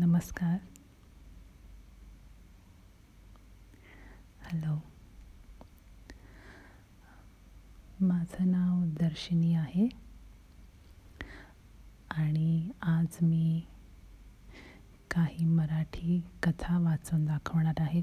नमस्कार हॅलो माझं नाव दर्शिनी आहे आणि आज मी काही मराठी कथा वाचून दाखवणार आहे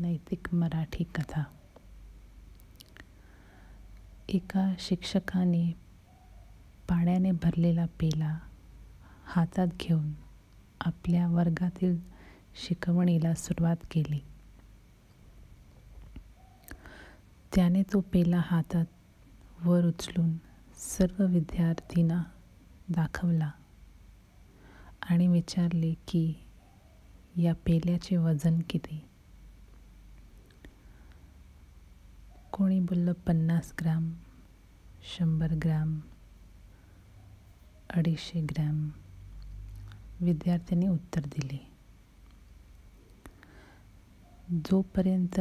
नैतिक मराठी कथा एका शिक्षकाने पाण्याने भरलेला पेला हातात घेऊन आपल्या वर्गातील शिकवणीला सुरुवात केली त्याने तो पेला हातात वर उचलून सर्व विद्यार्थींना दाखवला आणि विचारले की या पेल्याचे वजन किती कोणी बोललं पन्नास ग्रॅम शंभर ग्रॅम अडीचशे ग्रॅम विद्यार्थ्यांनी उत्तर दिले जोपर्यंत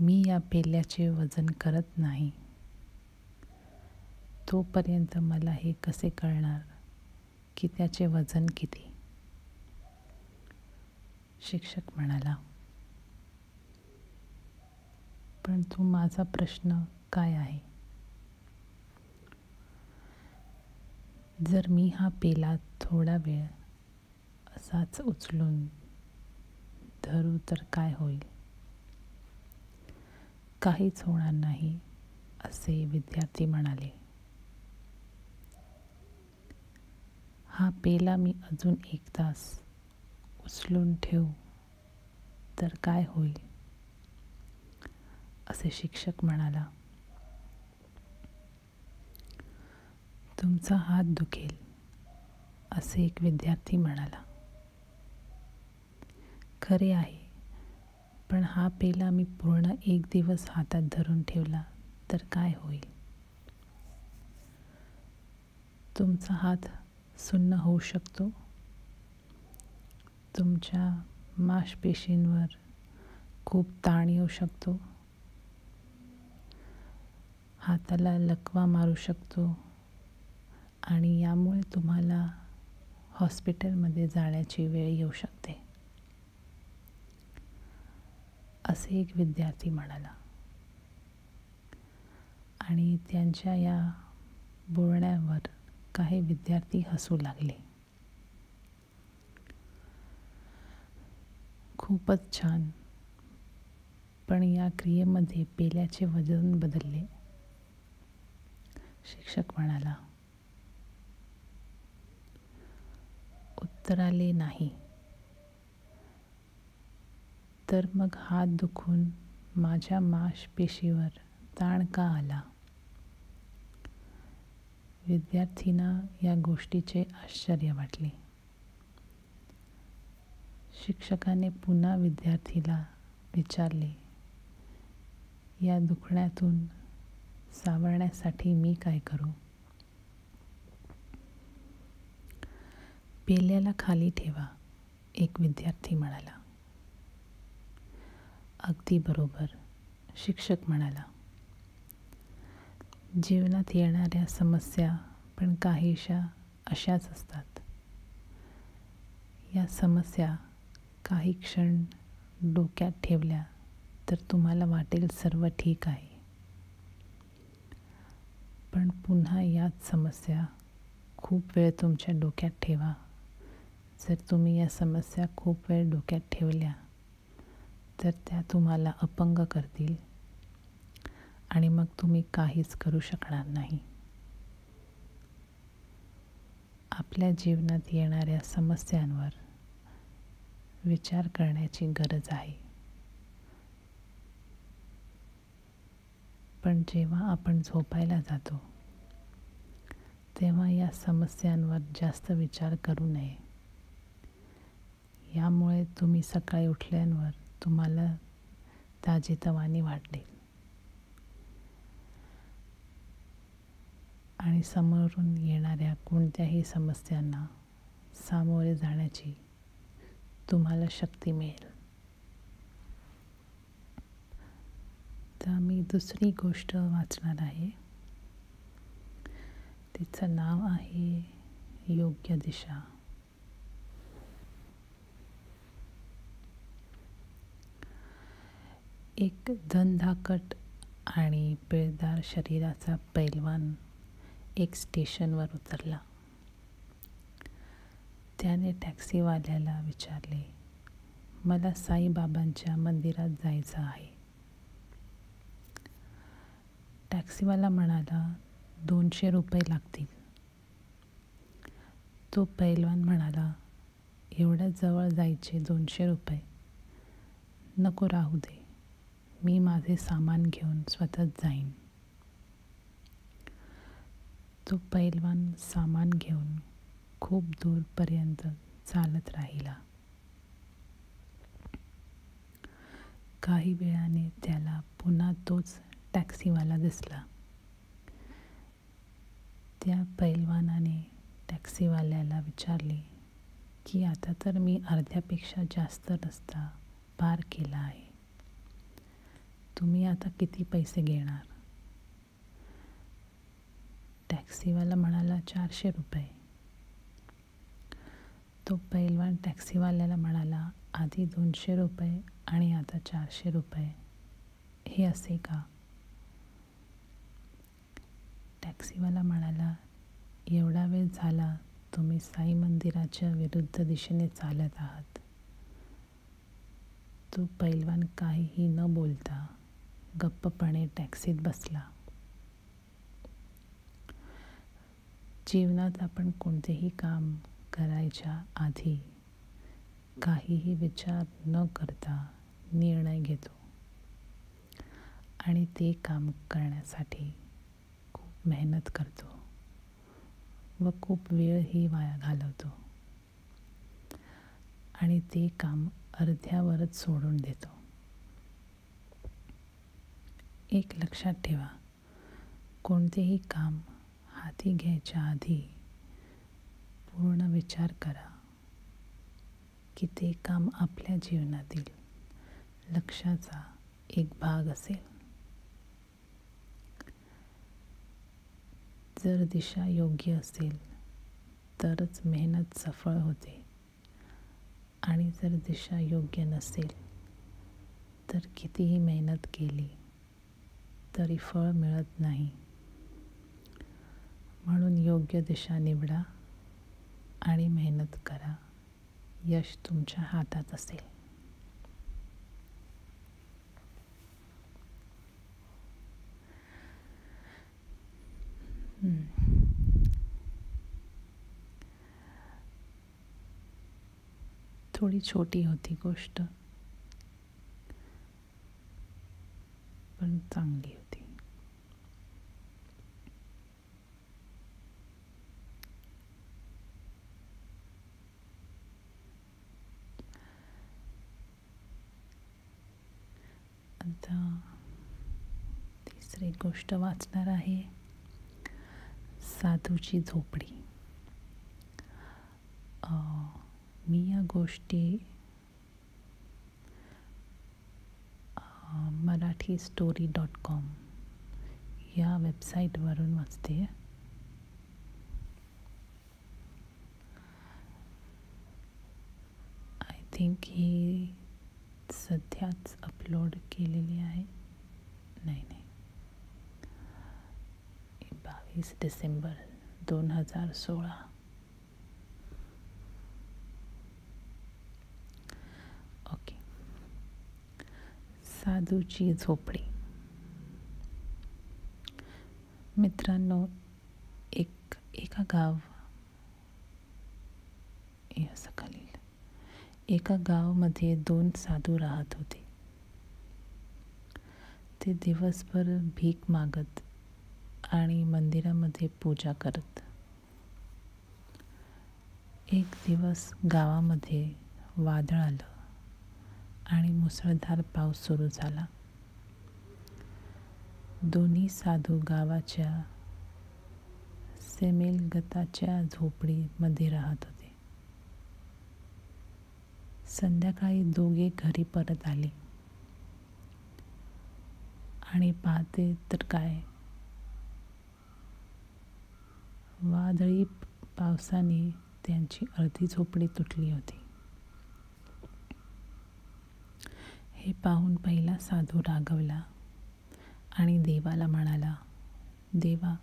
मी या पेल्याचे वजन करत नाही तोपर्यंत मला हे कसे कळणार की त्याचे वजन किती शिक्षक म्हणाला पण तो माझा प्रश्न काय आहे जर मी हा पेला थोडा वेळ असाच उचलून धरू तर काय होईल काहीच होणार नाही असे विद्यार्थी म्हणाले हा पेला मी अजून एक तास उचलून ठेवू तर काय होईल असे शिक्षक म्हणाला तुमचा हात दुखेल असे एक विद्यार्थी म्हणाला खरे आहे पण हा पेला मी पूर्ण एक दिवस हातात धरून ठेवला तर काय होईल तुमचा हात सुन्न होऊ शकतो तुमच्या मांसपेशींवर खूप ताण येऊ शकतो हाताला लकवा मारू शकतो आणि यामुळे तुम्हाला हॉस्पिटलमध्ये जाण्याची वेळ येऊ शकते असे एक विद्यार्थी म्हणाला आणि त्यांच्या या बोलण्यावर काही विद्यार्थी हसू लागले खूपच छान पण या क्रियेमध्ये पेल्याचे वजन बदलले शिक्षक म्हणाला उत्तराले नाही तर मग हात दुखून माझ्या मांसपेशीवर ताण का आला विद्यार्थीना या गोष्टीचे आश्चर्य वाटले शिक्षकाने पुन्हा विद्यार्थीला विचारले या दुखण्यातून सावरण्यासाठी मी काय करू पेल्याला खाली ठेवा एक विद्यार्थी म्हणाला अगदी बरोबर शिक्षक म्हणाला जीवनात येणाऱ्या समस्या पण काहीशा अशाच असतात या समस्या काही क्षण डोक्यात ठेवल्या तर तुम्हाला वाटेल सर्व ठीक आहे पण पुन्हा याच समस्या खूप वेळ तुमच्या डोक्यात ठेवा जर तुम्ही या समस्या खूप वेळ डोक्यात ठेवल्या तर त्या तुम्हाला अपंग करतील आणि मग तुम्ही काहीच करू शकणार नाही आपल्या जीवनात येणाऱ्या समस्यांवर विचार करण्याची गरज आहे पण जेव्हा आपण झोपायला जातो तेव्हा या समस्यांवर जास्त विचार करू नये यामुळे तुम्ही सकाळी उठल्यावर तुम्हाला ताजेतवानी वाटेल आणि समोरून येणाऱ्या कोणत्याही समस्यांना सामोरे जाण्याची तुम्हाला शक्ती मिळेल तर मी दुसरी गोष्ट वाचणार आहे तिचं नाव आहे योग्य दिशा एक धनधाकट आणि पिळदार शरीराचा पैलवान एक स्टेशनवर उतरला त्याने टॅक्सीवाल्याला विचारले मला साईबाबांच्या मंदिरात जायचं आहे टॅक्सीवाला म्हणाला दोनशे रुपये लागतील तो पैलवान म्हणाला एवढ्या जवळ जायचे दोनशे रुपये नको राहू दे मी माझे सामान घेऊन स्वतःच जाईन तो पैलवान सामान घेऊन खूप दूरपर्यंत चालत राहिला काही वेळाने त्याला पुन्हा तोच टॅक्सीवाला दिसला त्या पैलवानाने टॅक्सीवाल्याला विचारले की आता तर मी अर्ध्यापेक्षा जास्त रस्ता पार केला आहे तुम्ही आता किती पैसे घेणार टॅक्सीवाला म्हणाला चारशे रुपये तो पैलवान टॅक्सीवाल्याला म्हणाला आधी दोनशे रुपये आणि आता चारशे रुपये हे असे का टॅक्सीवाला म्हणाला एवढा वेळ झाला तुम्ही साई मंदिराच्या विरुद्ध दिशेने चालत आहात तो पैलवान काहीही न बोलता गप्पपणे टॅक्सीत बसला जीवनात आपण कोणतेही काम करायच्या आधी काहीही विचार न करता निर्णय घेतो आणि ते काम करण्यासाठी खूप मेहनत करतो व खूप वेळही वाया घालवतो आणि ते काम अर्ध्यावरच सोडून देतो एक लक्षात ठेवा कोणतेही काम हाती घ्यायच्या आधी पूर्ण विचार करा की ते काम आपल्या जीवनातील लक्षाचा एक भाग असेल जर दिशा योग्य असेल तरच मेहनत सफळ होते आणि जर दिशा योग्य नसेल तर कितीही मेहनत केली तरी फळ मिळत नाही म्हणून योग्य दिशा निवडा आणि मेहनत करा यश तुमच्या हातात असेल थोडी छोटी होती गोष्ट पण चांगली होती आता तिसरी गोष्ट वाचणार आहे साधूची झोपडी मी या गोष्टी मराठी स्टोरी डॉट कॉम या वेबसाईटवरून वाचते आय थिंक ही सध्याच अपलोड केलेली आहे नाही नाही बावीस डिसेंबर दोन हजार सोळा ओके साधूची झोपडी मित्रांनो एक एका गाव एका गावामध्ये दोन साधू राहत होते ते दिवसभर भीक मागत आणि मंदिरामध्ये पूजा करत एक दिवस गावामध्ये वादळ आलं आणि मुसळधार पाऊस सुरू झाला दोन्ही साधू गावाच्या सेमेलगताच्या झोपडीमध्ये राहत होते संध्याकाळी दोघे घरी परत आले आणि पाहते तर काय वादळी पावसाने त्यांची अर्धी झोपडी तुटली होती हे पाहून पहिला साधू रागवला आणि देवाला म्हणाला देवा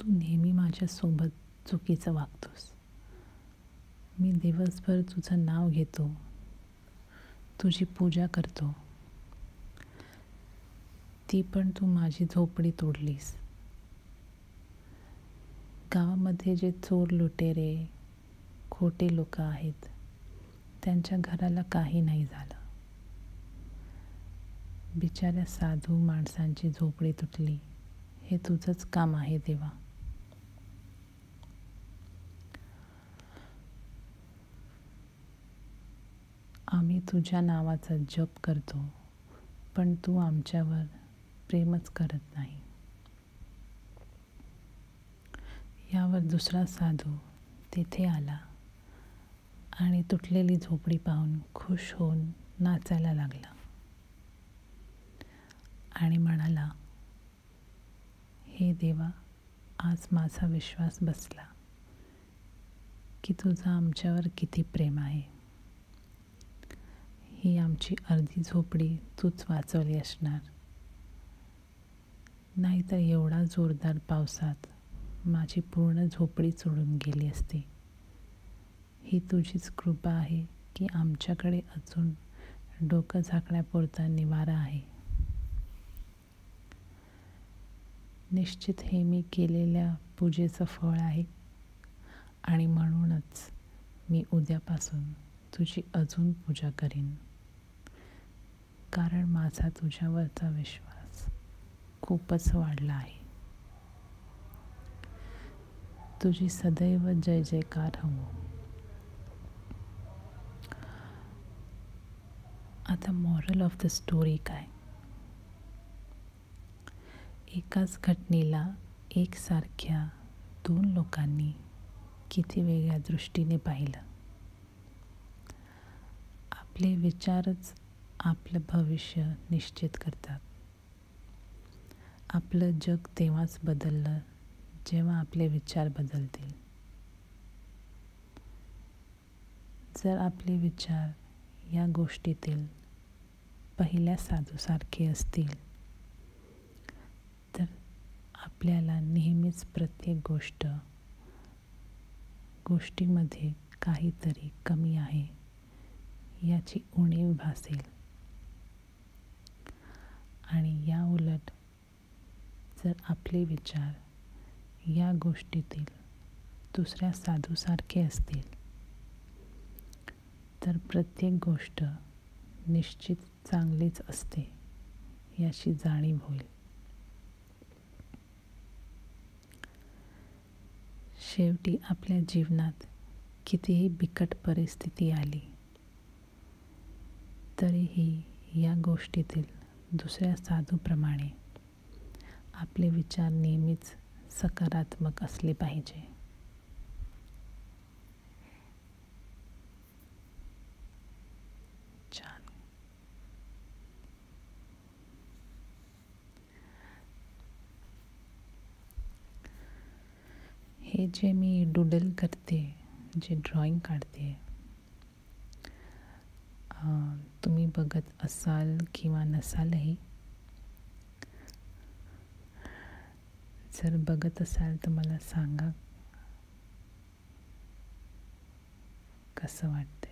तू नेहमी माझ्यासोबत चुकीचं वागतोस मी दिवसभर तुझं नाव घेतो तुझी पूजा करतो ती पण तू माझी झोपडी तोडलीस गावामध्ये जे चोर लुटेरे खोटे लोक आहेत त्यांच्या घराला काही नाही झालं बिचाऱ्या साधू माणसांची झोपडी तुटली हे तुझंच काम आहे देवा आम्ही तुझ्या नावाचा जप करतो पण तू आमच्यावर प्रेमच करत नाही यावर दुसरा साधू तेथे आला आणि तुटलेली झोपडी पाहून खुश होऊन नाचायला लागला आणि म्हणाला हे देवा आज माझा विश्वास बसला की तुझा आमच्यावर किती प्रेम आहे ही आमची अर्धी झोपडी तूच वाचवली असणार नाहीतर एवढा जोरदार पावसात माझी पूर्ण झोपडी चोडून गेली असते ही तुझीच कृपा आहे की आमच्याकडे अजून डोकं झाकण्यापुरता निवारा आहे निश्चित हे मी केलेल्या पूजेचं फळ आहे आणि म्हणूनच मी उद्यापासून तुझी अजून पूजा करीन कारण माझा तुझ्यावरचा विश्वास खूपच वाढला आहे तुझी सदैव जय जयकार हवं आता मॉरल ऑफ द स्टोरी काय एकाच घटनेला एकसारख्या दोन लोकांनी किती वेगळ्या दृष्टीने पाहिलं आपले विचारच आपलं भविष्य निश्चित करतात आपलं जग तेव्हाच बदललं जेव्हा आपले विचार बदलतील जर आपले विचार या गोष्टीतील पहिल्या साधूसारखे असतील तर आपल्याला नेहमीच प्रत्येक गोष्ट गोष्टीमध्ये काहीतरी कमी आहे याची उणीव भासेल आणि या उलट जर आपले विचार या गोष्टीतील दुसऱ्या साधूसारखे असतील तर प्रत्येक गोष्ट निश्चित चांगलीच असते याची जाणीव होईल शेवटी आपल्या जीवनात कितीही बिकट परिस्थिती आली तरीही या गोष्टीतील दुसऱ्या साधूप्रमाणे आपले विचार नेहमीच सकारात्मक असले पाहिजे हे जे मी डुडल करते जे ड्रॉइंग काढते तुम्ही बघत असाल किंवा नसालही जर बघत असाल तर मला सांगा कसं वाटतंय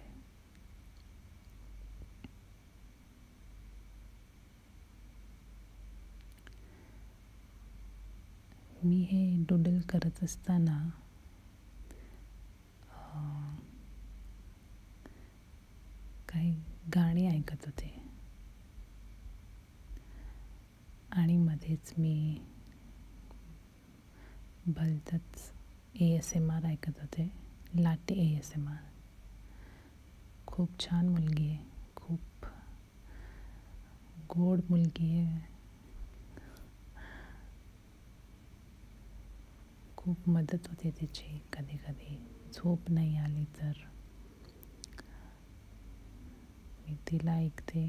मी हे डुडल करत असताना काही गाणी ऐकत होते आणि मध्येच मी भलतच ए एस एम आर ऐकत होते लाटे ए एस एम आर खूप छान मुलगी आहे खूप गोड मुलगी आहे खूप मदत होते तिची कधी कधी झोप नाही आली तर मी तिला ऐकते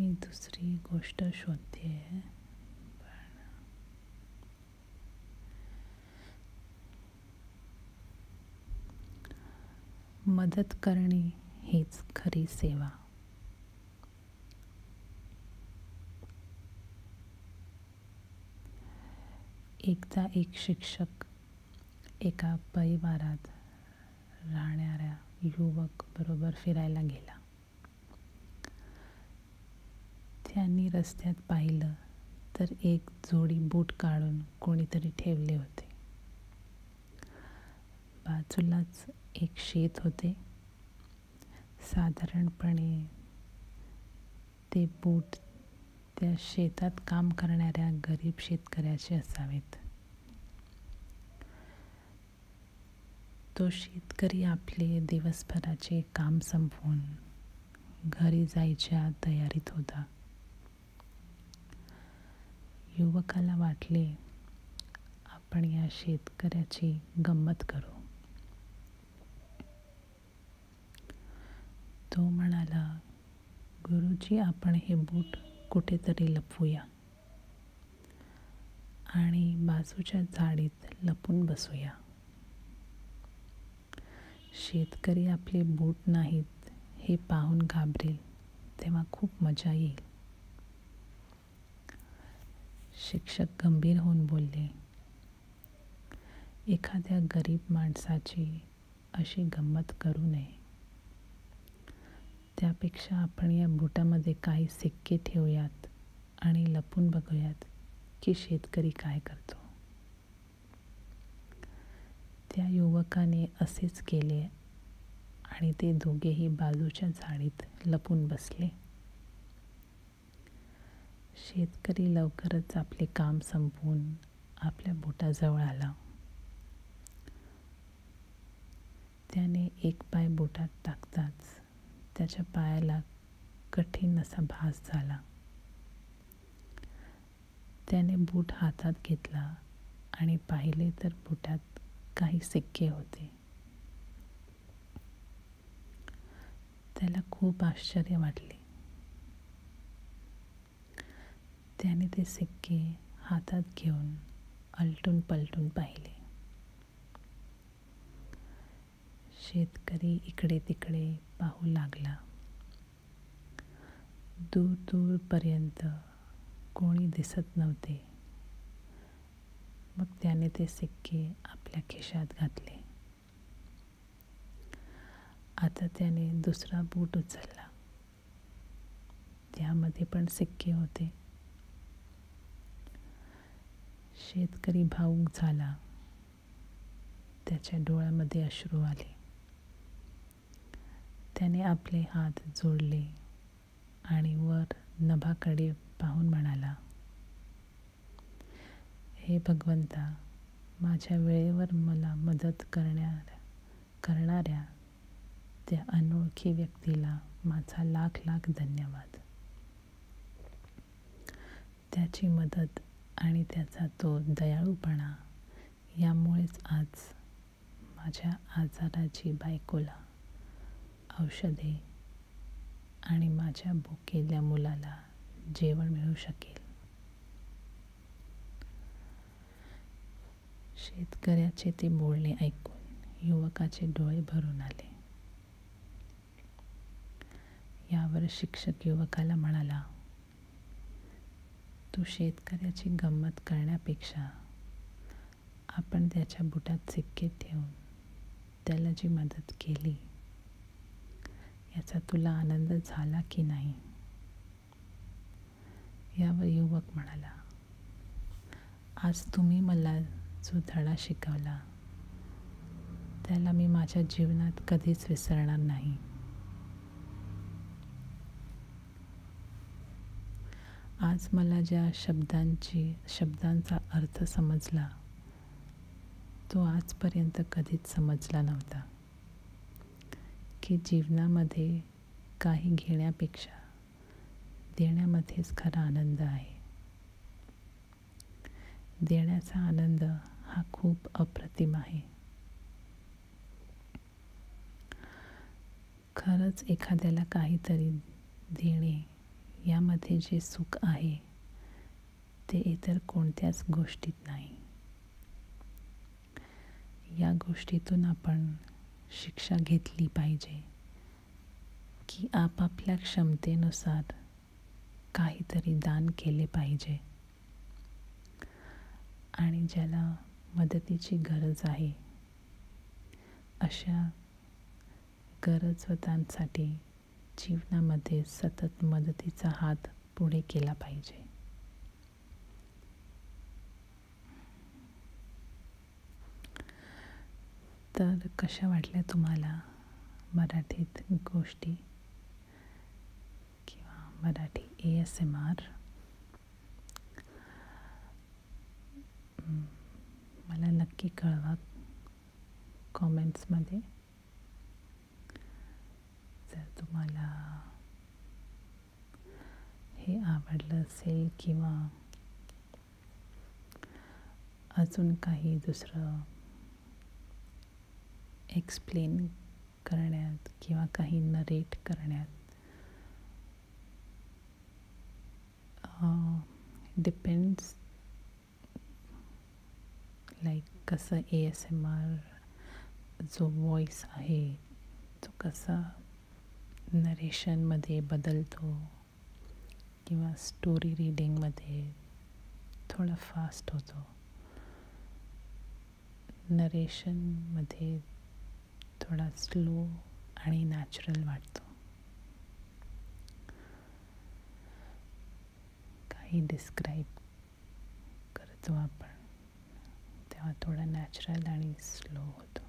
मी दुसरी गोष्ट शोधते मदत करणे हीच खरी सेवा एकदा एक शिक्षक एका परिवारात राहणाऱ्या युवक बरोबर फिरायला गेला त्यांनी रस्त्यात पाहिलं तर एक जोडी बूट काढून कोणीतरी ठेवले होते बाजूलाच एक शेत होते साधारणपणे ते बूट त्या शेतात काम करणाऱ्या गरीब शेतकऱ्याचे असावेत तो शेतकरी आपले दिवसभराचे काम संपवून घरी जायच्या तयारीत होता युवकाला वाटले आपण या शेतकऱ्याची गंमत करू तो म्हणाला गुरुजी आपण हे बूट कुठेतरी लपवूया आणि बाजूच्या झाडीत लपून बसूया शेतकरी आपले बूट नाहीत हे पाहून घाबरेल तेव्हा खूप मजा येईल शिक्षक गंभीर होऊन बोलले एखाद्या गरीब माणसाची अशी गंमत करू नये त्यापेक्षा आपण या बुटामध्ये काही सिक्के ठेवूयात आणि लपून बघूयात की शेतकरी काय करतो त्या युवकाने असेच केले आणि ते दोघेही बाजूच्या झाडीत लपून बसले शेतकरी लवकरच आपले काम संपवून आपल्या बोटाजवळ आला त्याने एक पाय बोटात टाकताच त्याच्या पायाला कठीण असा भास झाला त्याने बूट हातात घेतला आणि पाहिले तर बुटात काही सिक्के होते त्याला खूप आश्चर्य वाटले त्याने ते सिक्के हातात घेऊन अलटून पलटून पाहिले शेतकरी इकडे तिकडे पाहू लागला दूर दूरपर्यंत कोणी दिसत नव्हते मग त्याने ते सिक्के आपल्या खिशात घातले आता त्याने दुसरा बूट उचलला त्यामध्ये पण सिक्के होते शेतकरी भाऊक झाला त्याच्या डोळ्यामध्ये अश्रू आले त्याने आपले हात जोडले आणि वर नभाकडे पाहून म्हणाला हे भगवंता माझ्या वेळेवर मला मदत करण्या करणाऱ्या त्या अनोळखी व्यक्तीला माझा लाख लाख धन्यवाद त्याची मदत आणि त्याचा तो दयाळूपणा यामुळेच आज माझ्या आजाराची बायकोला औषधे आणि माझ्या भुकेल्या मुलाला जेवण मिळू शकेल शेतकऱ्याचे ते बोलणे ऐकून युवकाचे डोळे भरून आले यावर शिक्षक युवकाला म्हणाला तू शेतकऱ्याची गंमत करण्यापेक्षा आपण त्याच्या बुटात सिक्के ठेवून त्याला जी मदत केली याचा तुला आनंद झाला की नाही यावर युवक म्हणाला आज तुम्ही मला जो धडा शिकवला त्याला मी माझ्या जीवनात कधीच विसरणार नाही आज मला ज्या शब्दांची शब्दांचा अर्थ समजला तो आजपर्यंत कधीच समजला नव्हता की जीवनामध्ये काही घेण्यापेक्षा देण्यामध्येच खरा आनंद आहे देण्याचा आनंद हा खूप अप्रतिम आहे खरंच एखाद्याला काहीतरी देणे यामध्ये जे सुख आहे ते इतर कोणत्याच गोष्टीत नाही या गोष्टीतून आपण शिक्षा घेतली पाहिजे की आपापल्या क्षमतेनुसार काहीतरी दान केले पाहिजे आणि ज्याला मदतीची गरज आहे अशा गरजवतांसाठी जीवनामध्ये सतत मदतीचा हात पुढे केला पाहिजे तर कशा वाटल्या तुम्हाला मराठीत गोष्टी किंवा Marathi A S M R मला नक्की कळवा कॉमेंट्समध्ये जर तुम्हाला हे आवडलं असेल किंवा अजून काही दुसरं एक्सप्लेन करण्यात किंवा काही नरेट करण्यात डिपेंड्स uh, लाईक कसं ए एस एम आर जो वॉईस आहे तो कसा नरेशनमध्ये बदलतो किंवा स्टोरी रिडिंगमध्ये थोडा फास्ट होतो नरेशनमध्ये थोडा स्लो आणि नॅचरल वाटतो काही डिस्क्राईब करतो आपण तेव्हा थोडा नॅचरल आणि स्लो होतो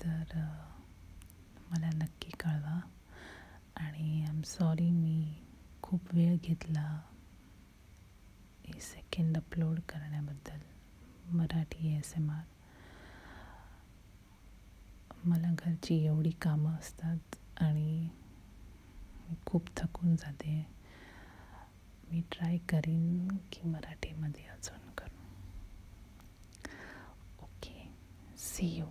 तर मला नक्की कळवा आणि आय एम सॉरी मी खूप वेळ घेतला हे सेकंड अपलोड करण्याबद्दल मराठी एस एम आर मला घरची एवढी कामं असतात आणि खूप थकून जाते मी ट्राय करीन की मराठीमध्ये अजून करू ओके सी यू